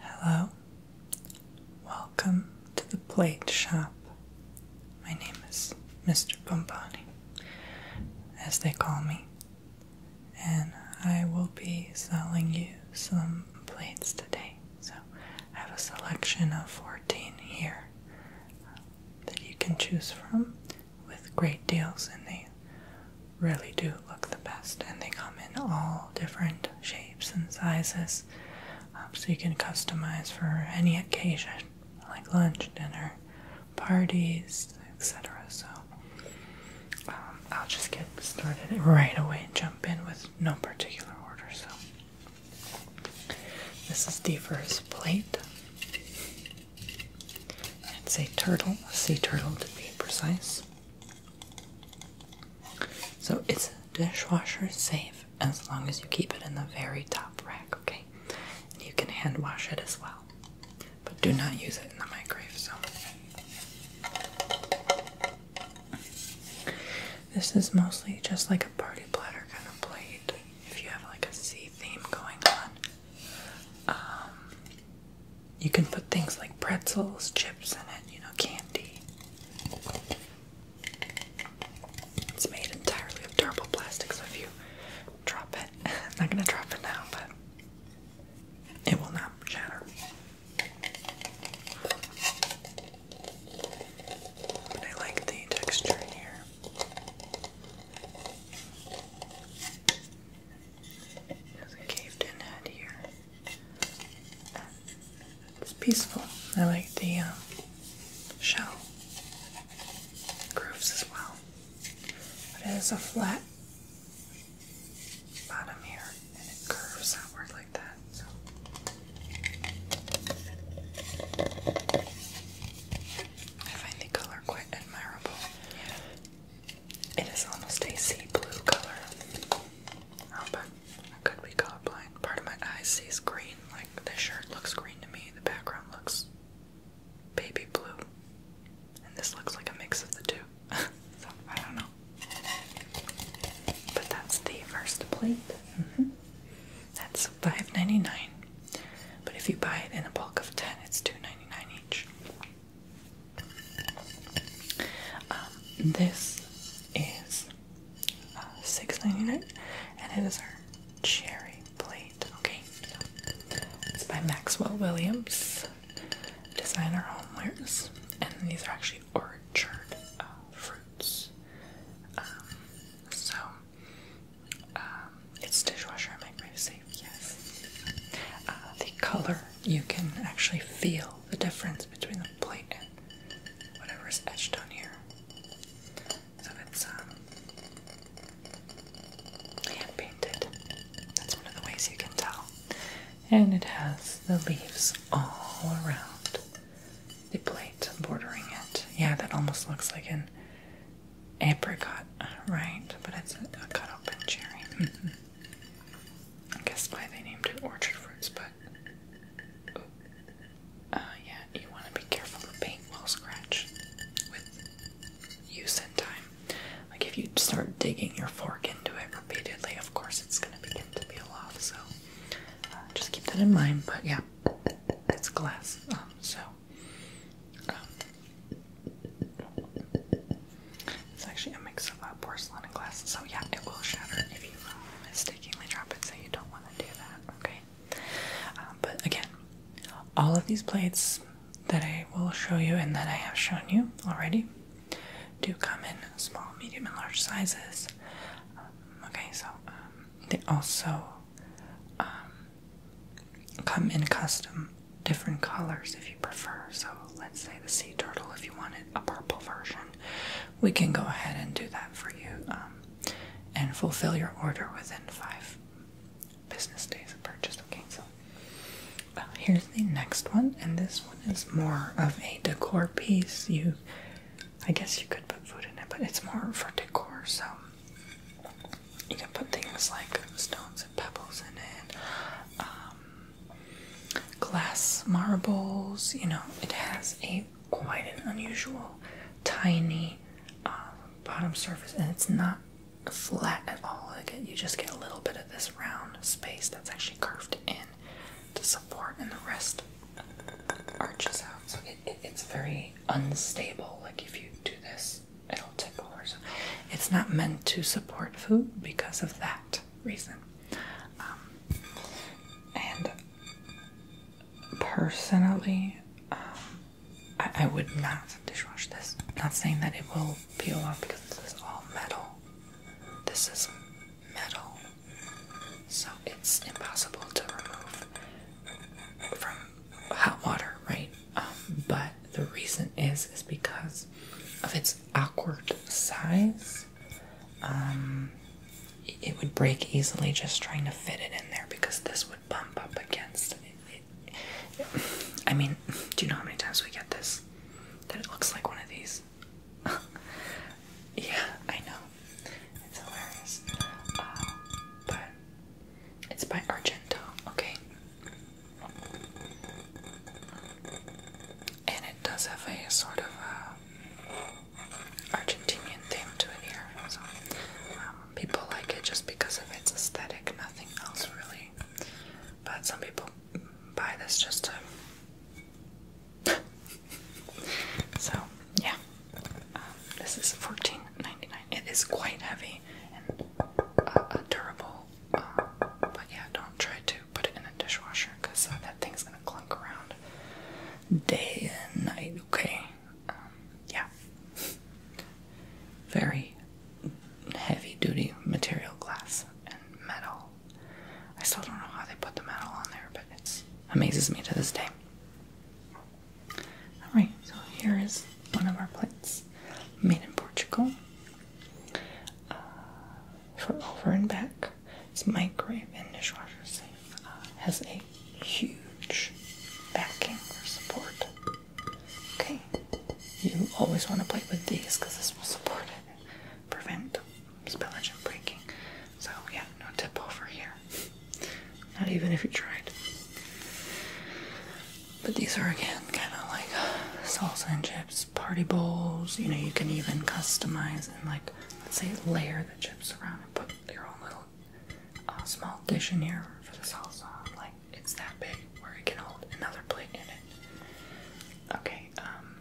Hello, welcome to the Plate Shop. My name is Mr. Bomboni, as they call me, and I will be selling you some plates today. So I have a selection of 14 here that you can choose from with great deals in the really do look the best, and they come in all different shapes and sizes, um, so you can customize for any occasion, like lunch, dinner, parties, etc. So um, I'll just get started right away and jump in with no particular order. So this is the plate. It's a turtle, a sea turtle to be precise. So it's dishwasher safe as long as you keep it in the very top rack, okay? you can hand wash it as well. But do not use it in the microwave, so this is mostly just like a party platter kind of plate if you have like a sea theme going on. Um, you can put things like pretzels, chips in it, you know, candy. It's made entirely of durable plastic, so if you drop it, I'm not gonna drop it now, but it will not shatter. But I like the texture in here. There's a caved in head here. It's peaceful. I like the uh, shell grooves as well. But it is a flat bottom here and it curves outward like that. I find the color quite admirable. It is almost a sea blue color. Oh, but I could be colorblind. Part of my eye sees green. Like, the shirt looks green to me. The background looks baby blue. And this looks like a mix of the two. I don't know. But that's the first plate. Mm-hmm. That's $5.99. But if you buy it in a bulk of 10, it's $2.99 each. Um, this is uh, and it is our cherry plate. Okay, so it's by Maxwell Williams Designer Homewares, and these are actually orchard uh, fruits. Um, so um, it's dishwasher microwave safe. Yes, uh, the color you can actually feel the difference between the plate and whatever is etched on here. So it's um, hand painted. That's one of the ways you can tell. And it has the leaves all around the plate bordering it. Yeah, that almost looks like an apricot, right? But it's a cut open cherry. Mm-hmm. I guess why they named it orchard fruits, but oh, uh, yeah, you want to be careful. The paint will scratch with use and time. Like if you start digging your fork into it repeatedly, of course it's going to begin to peel off. So uh, just keep that in mind. But yeah, it's glass, um, so. Um, it's actually a mix of uh, porcelain and glass, so yeah, it will shatter if you uh, mistakenly drop it, so you don't want to do that, okay? Um, but again, all of these plates that I will show you and that I have shown you already do come in small, medium, and large sizes. Um, okay, so um, they also come in custom different colors if you prefer. So let's say the sea turtle, if you wanted a purple version, we can go ahead and do that for you um, and fulfill your order within five business days of purchase. Okay, so uh, here's the next one, and this one is more of a decor piece. You, I guess, you could put food in it, but it's more for decor. So you can put things like stones and pebbles in it. Um, glass marbles. You know, it has a quite an unusual tiny uh, bottom surface, and it's not flat at all. Like you just get a little bit of this round space that's actually curved in to support, and the rest arches out. So it's very unstable. Like if you do this, it'll tickle or something. It's not meant to support food because of that reason. Um, and personally, um, I, I would not dishwash this. Not saying that it will peel off because this is all metal. This is metal, so it's impossible to remove from hot water, right? Um, but the reason is is because of its awkward size. Um, it would break easily just trying to fit it in there because this would bump up against it. I mean, do you know how many times we get this? That it looks like one of these. yeah, I know. It's hilarious. Uh, but it's by Argento, okay? And it does have a sort of uh, a theme to it here. So um, people like it just because of its aesthetic, nothing else really. But some people buy this just to. so yeah, um, this is $14.99. It is quite heavy and uh, durable but yeah, don't try to put it in a dishwasher because that thing's gonna clunk around day and night, okay? Um, yeah. Very heavy duty material glass and metal. I still don't know how they put the metal on there, but it amazes me to this day. Alright, so here is one of our plates made in Portugal. Uh, for over and back. It's microwave and dishwasher safe. Uh, has a huge backing for support. Okay, you always want to play with these because this will support it, and prevent spillage and breaking. So yeah, no tip over here. Not even if you tried. But these are again kind of like salsa and chips, party bowls. You know, you can even customize and like, let's say, layer the chips around and put your own little uh, small dish in here for the salsa. Like, it's that big where it can hold another plate in it. Okay, um,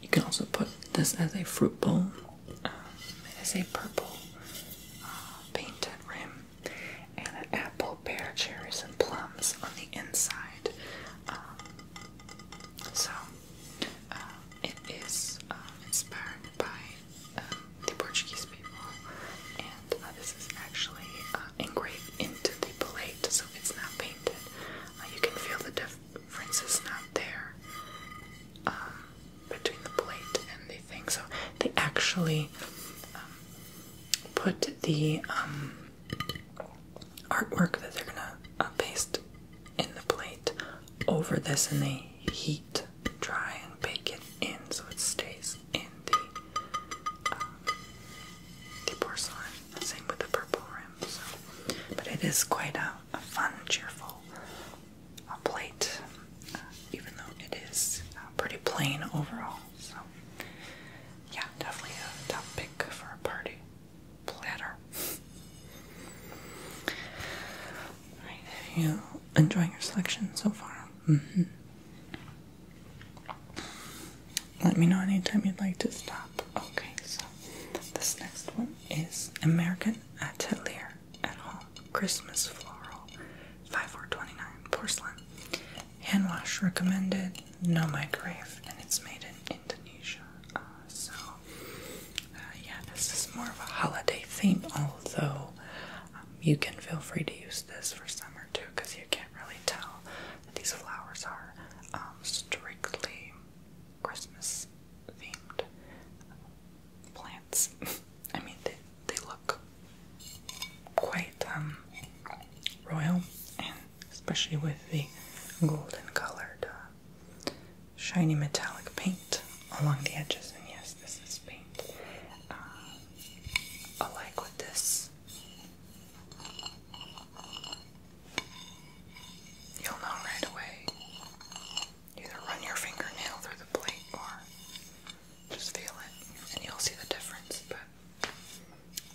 you can also put this as a fruit bowl. Um, it is a purple uh, painted rim and an apple, pear, cherries, and plums on the inside. Um, so uh, it is um, inspired by um, the Portuguese people, and uh, this is actually uh, engraved into the plate, so it's not painted. you can feel the difference is not there between the plate and the thing. So they actually put the artwork that they're gonna uh, paste in the plate over this, and they heat dry and bake it in so it stays in the uh, the porcelain. Same with the purple rim. So, but it is quite a, fun, cheerful uh, plate, even though it is pretty plain overall. So, yeah, definitely a top pick for a party platter. you enjoying your selection so far? Mm-hmm. Let me know anytime you'd like to stop. Okay, so this next one is American Atelier at Home Christmas Floral 5429 Porcelain. Hand wash recommended, no microwave, and it's made in Indonesia. Uh, so, uh, yeah, this is more of a holiday theme, although um, you can feel free to use this for summer too, because you can't really tell these flowers are um, strictly Christmas themed plants. I mean, they, they look quite um, royal, and especially with the golden colored uh, shiny metallic paint along the edges. And yes, this is paint. Uh, with this. You'll know right away. Either run your fingernail through the plate or just feel it, and you'll see the difference.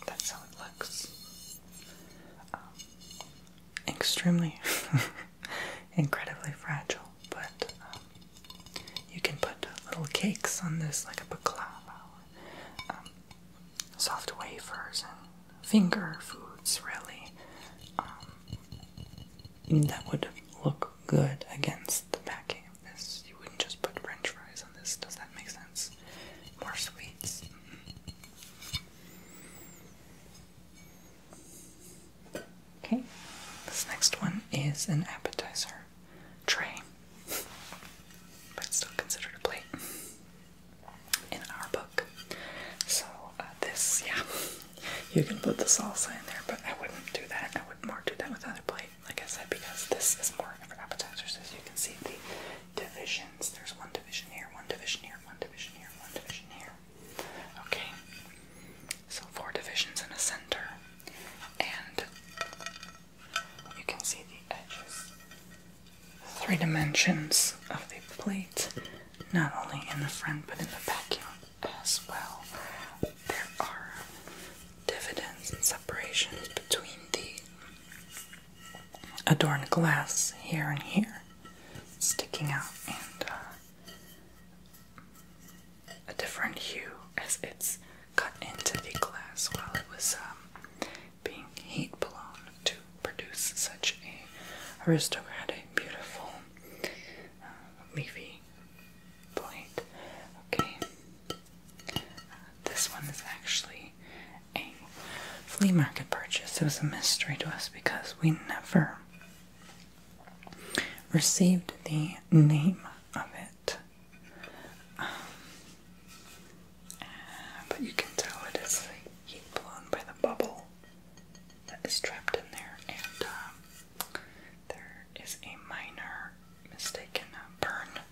That's how it looks. Um, extremely, incredibly fragile, but um, you can put little cakes on this, like a baklava, um, soft wafers, and finger foods, really. that would look good against the backing of this. You wouldn't just put french fries this. Does that make sense? More sweets. Okay. This next one is an appetizer tray, but still considered a plate in our book. So uh, this, yeah, you can put the salsa in there, but I wouldn't do that. I would more do that with other plates like I said, because this is more for appetizers. As you can see, the divisions there's one division here, one division here, one division here, one division here. Okay, so four divisions in a center, and you can see the edges, three dimensions of the plate, not only in the front but in the back as well. There are dividends and separations between the adorned glass here and here sticking out and uh, a different hue as it's cut into the glass while it was um, being heat blown to produce such a aristocratic beautiful uh, leafy okay this one is actually a flea market purchase. It was a mystery to us because we never received the name of it. Um, but you can tell it is heat blown by the bubble that is trapped in there, and um, there is a minor mistaken uh, burn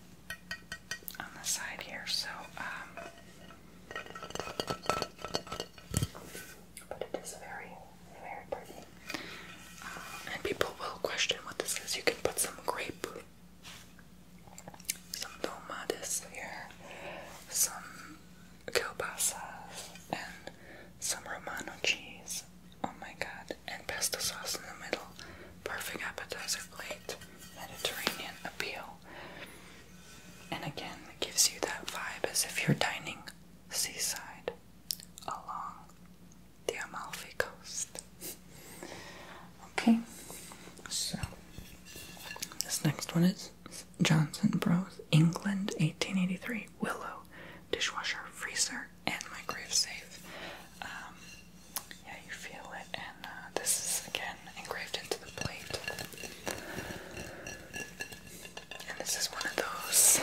on the side here, so um, but it is a very, very pretty. Uh, and people will question what this is. You can put some grape, some tomates here, some kielbasa, and some Romano cheese. Oh my god, and pesto sauce in the middle perfect appetizer plate, Mediterranean appeal. And again, it gives you that vibe as if you're dining seaside along the Amalfi Coast. Okay, so this next one is Johnson Bros. England 1883 Willow dishwasher, freezer, and microwave safe. Um, yeah, you feel it, and uh, this is again engraved into the plate. And this is one of those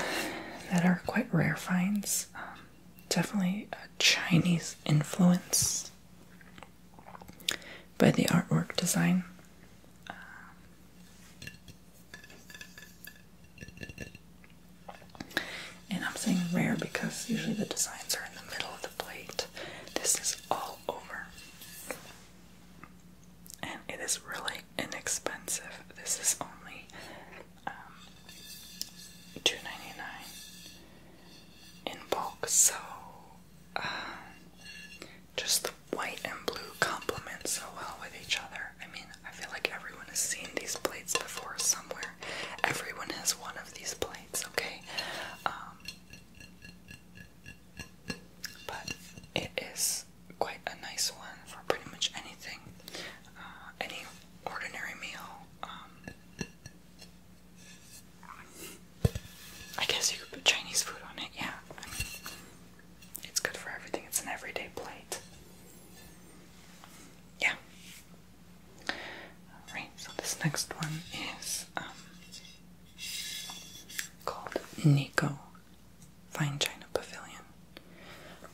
that are quite rare finds. Um, definitely a Chinese influence by the artwork design. Um, and I'm saying rare because usually the designs are in the middle of the plate. This is all over. And it is really inexpensive. This is only um, $2.99 in bulk. So uh, just the white and blue complement so well with each other. I mean, I feel like everyone has seen these plates before somewhere. Everyone has one of these plates. It's okay? Um, but it is quite a nice one for pretty much anything, uh, any ordinary meal. Um, I guess you could put Chinese food on it, yeah. it's good for everything, it's an everyday plate. Yeah. Alright, so this next one is um, called Nico Fine China Pavilion,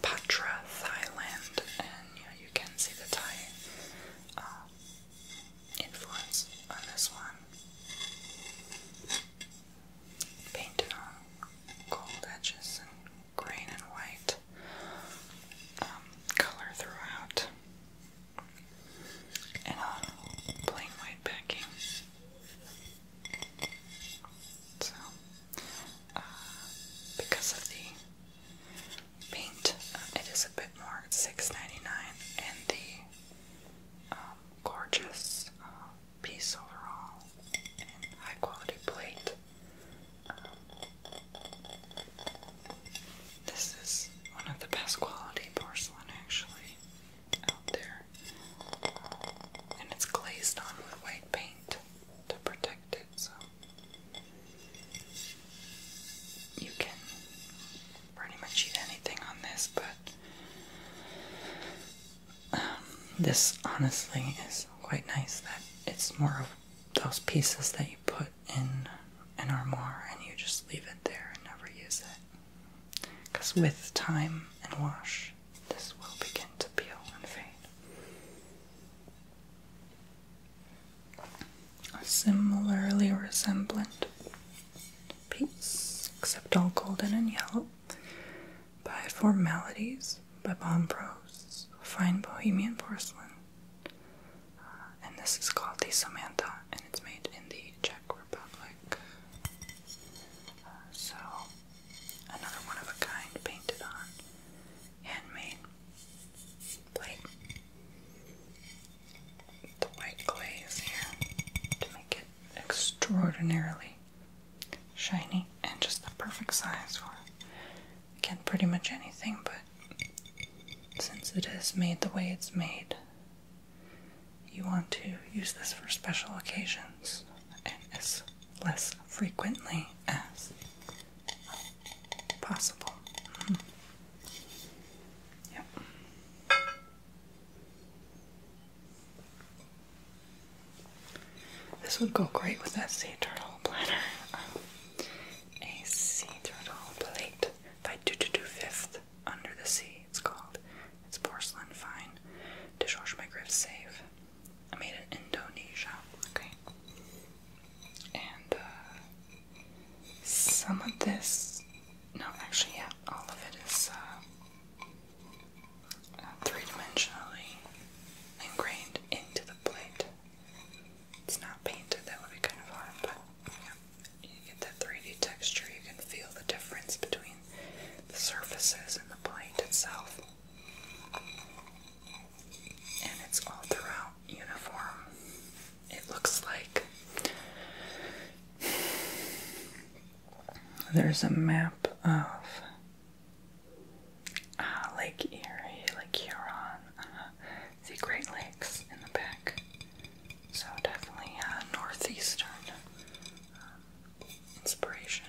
Patra, Thailand, and yeah, you can see the Thai uh, influence on this one. Painted on gold edges and green and white. Um, color throughout and a plain white backing. So, uh, because of the paint, uh, it is a bit more $6.99 and the um, gorgeous uh, piece overall and high quality plate this is one of the best quality porcelain actually out there. And it's glazed on with white paint to protect it, so you can pretty much eat anything on this, but um, this honestly is quite nice that it's more of those pieces that you put in an armoire and you just leave it there and never use it. Because with time and wash, this will begin to peel and fade. A similarly resemblant piece, except all golden and yellow, by Formalities by Bombrose, fine Bohemian porcelain, uh, and this is called the Samantha, and it's made in the Czech Republic. Uh, so, another one of a kind painted on handmade plate. The white glaze here to make it extraordinarily shiny and just the perfect size for again pretty much anything, but since it is made the way it's made, you want to use this for special occasions and as less frequently as possible. Mm-hmm. Yep. This would go great with that sea turtle platter a sea turtle plate by Dututu Fifth Under the Sea, it's called. It's porcelain fine. To my griff safe. I made it in Indonesia. Okay. And uh, some of this no actually yeah, all of it is uh, uh, three dimensionally ingrained into the plate. It's not painted, that would be kind of hard, but You get that 3D texture, you can feel the difference between the surfaces and the plate itself. And it's all throughout uniform. It looks like there's a map of uh, Lake Erie, Lake Huron, the uh, Great Lakes in the back. So definitely uh, northeastern inspiration.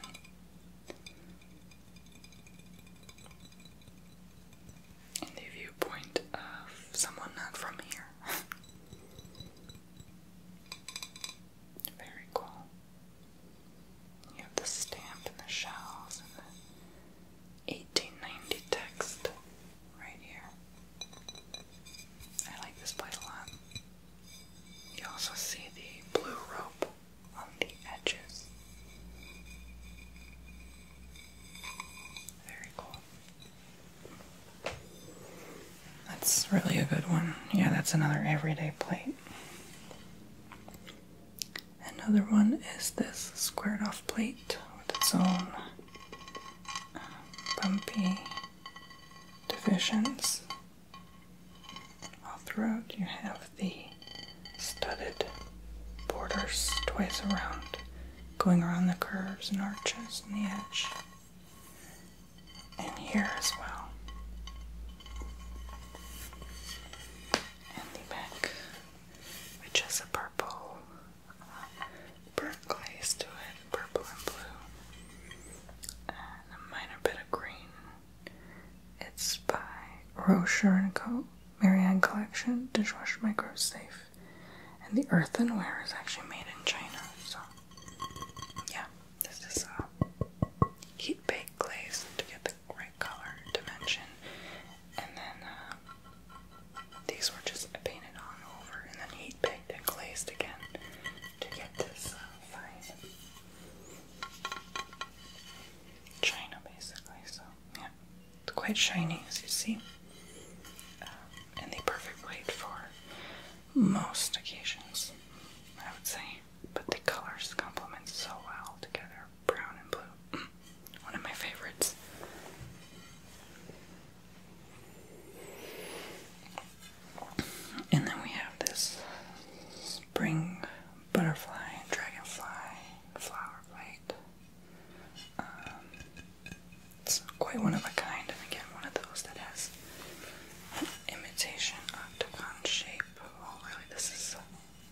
And the viewpoint of someone not from here. Very cool. You have the stamp and the shells and the 1890 text right here. I like this plate a lot. You also see the blue rope on the edges. Very cool. That's really a good one. Yeah, that's another everyday plate. Another one is this squared off plate with its own uh, bumpy divisions. All throughout, you have the studded borders twice around, going around the curves and arches and the edge, and here as well. And the back which has a purple burnt glaze to it, purple and blue, and a minor bit of green. It's by Rocher & Co. Marianne Collection dishwasher Micro Safe. And the earthenware is actually made in China, so yeah, this is a heat baked glaze to get the right color dimension. And then uh, these were just painted on over and then heat picked and glazed again to get this uh, fine china basically. So, yeah, it's quite shiny as you see. Um, and the perfect weight for most occasions, I would say. But the colors complement so well together brown and blue. One of my favorites. And then we have this spring butterfly, dragonfly, flower plate. Um, it's quite one of a kind, and again, one of those that has imitation octagon shape. Well, oh, this is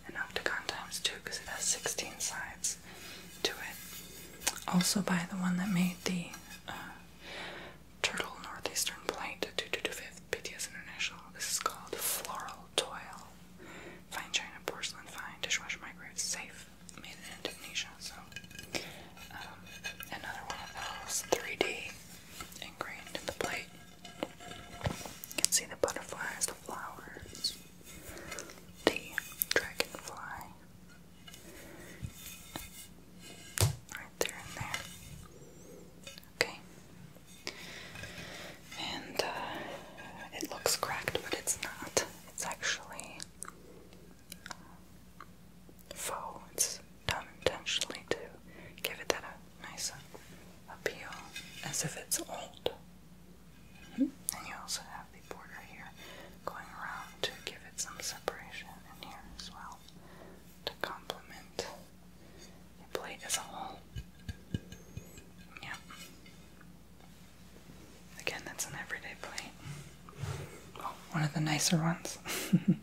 an octagon times two because it has 16 sides to it. Also by the one that made the uh, Turtle Northeastern Plate 2225 PTS International. This is called Floral Toil. Fine China, porcelain, fine, dishwasher, microwave, safe. Made in Indonesia, so um, another one of those 3D ingrained in the plate. You can see the butterflies, the flowers the dragonfly right there and there. Okay. And uh, it looks cracked, but it's not. It's actually uh, faux. It's done intentionally to give it that a uh, nice appeal, as if it's old. And you also have the border here going around to give it some separation in here as well to complement the plate as a whole. Yeah. Again, that's an everyday plate. one of the nicer ones.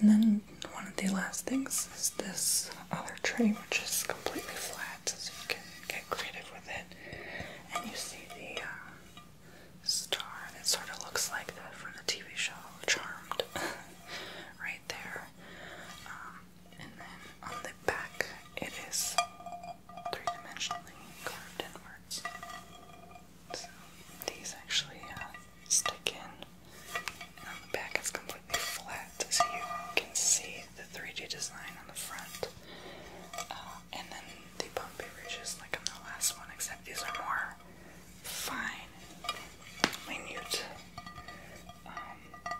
And then one of the last things is this other tray, which is completely flat, so you can get creative with it. And you see the uh, star that sort of looks like that from the TV show Charmed, right there. Um, and then on the back, it is three-dimensionally carved inwards. So these actually uh, stick in, and on the back it's completely flat, so you can see the 3D design on the front. Uh, and then the bumpy ridges, like on the last one, except these are more fine, minute. Um,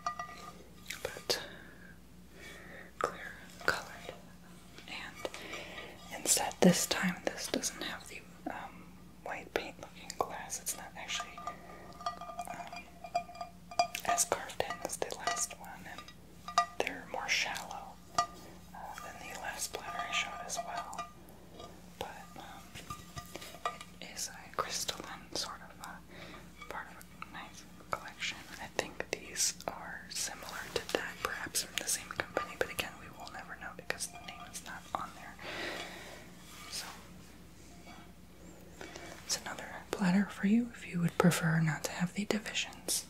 but clear colored. And instead, this time, this doesn't have the um, white paint looking glass. It's not actually um, as carved in as the last one, and they're more shallow uh, than the last platter I showed as well. But um, it is a crystalline sort of a uh, part of a nice collection. I think these are similar to that, perhaps from the same company, but again, we will never know because the name is not on there. So it's another platter for you if you would prefer not to have the divisions.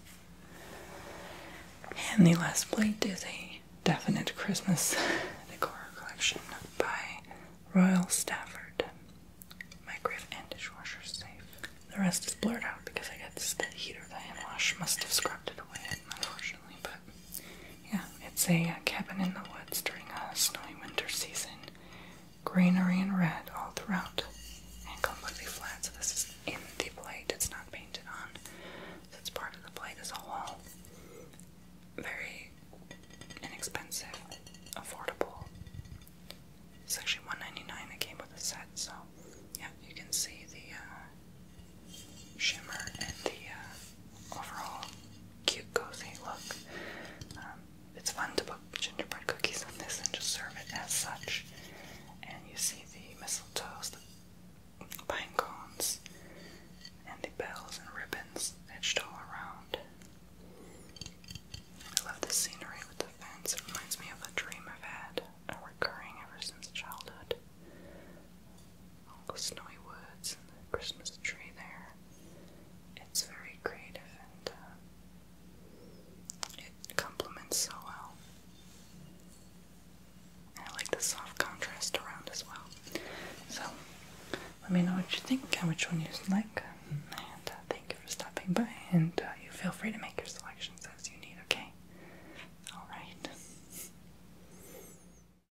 And the last plate is a definite Christmas decor collection by Royal Stafford. Microwave and dishwasher safe. The rest is blurred out because I guess that heater the hand wash must have scrubbed it away, unfortunately, but yeah, it's a, uh, cabin in the woods during a snowy winter season. Greenery and red all throughout, and completely flat. So this is in the plate; it's not painted on. So it's part of the plate as a whole. Very inexpensive, affordable. It's actually $1.99. It came with a set, so yeah, you can see the uh, shimmer and the uh, overall cute, cozy look. Um, it's fun to put gingerbread cookies on this and just serve it as such. And you see the mistletoes, the pine cones, and the bells and ribbons edged all around. I love the scenery with the fence. It reminds me of a dream I've had, a recurring ever since childhood all the snowy woods and the Christmas tree there. It's very creative and uh, it complements so well. And I like the soft contrast around as well. So, let me know what you think and which one you like. And uh, thank you for stopping by. And uh, you feel free to make your selections as you need, okay? Alright.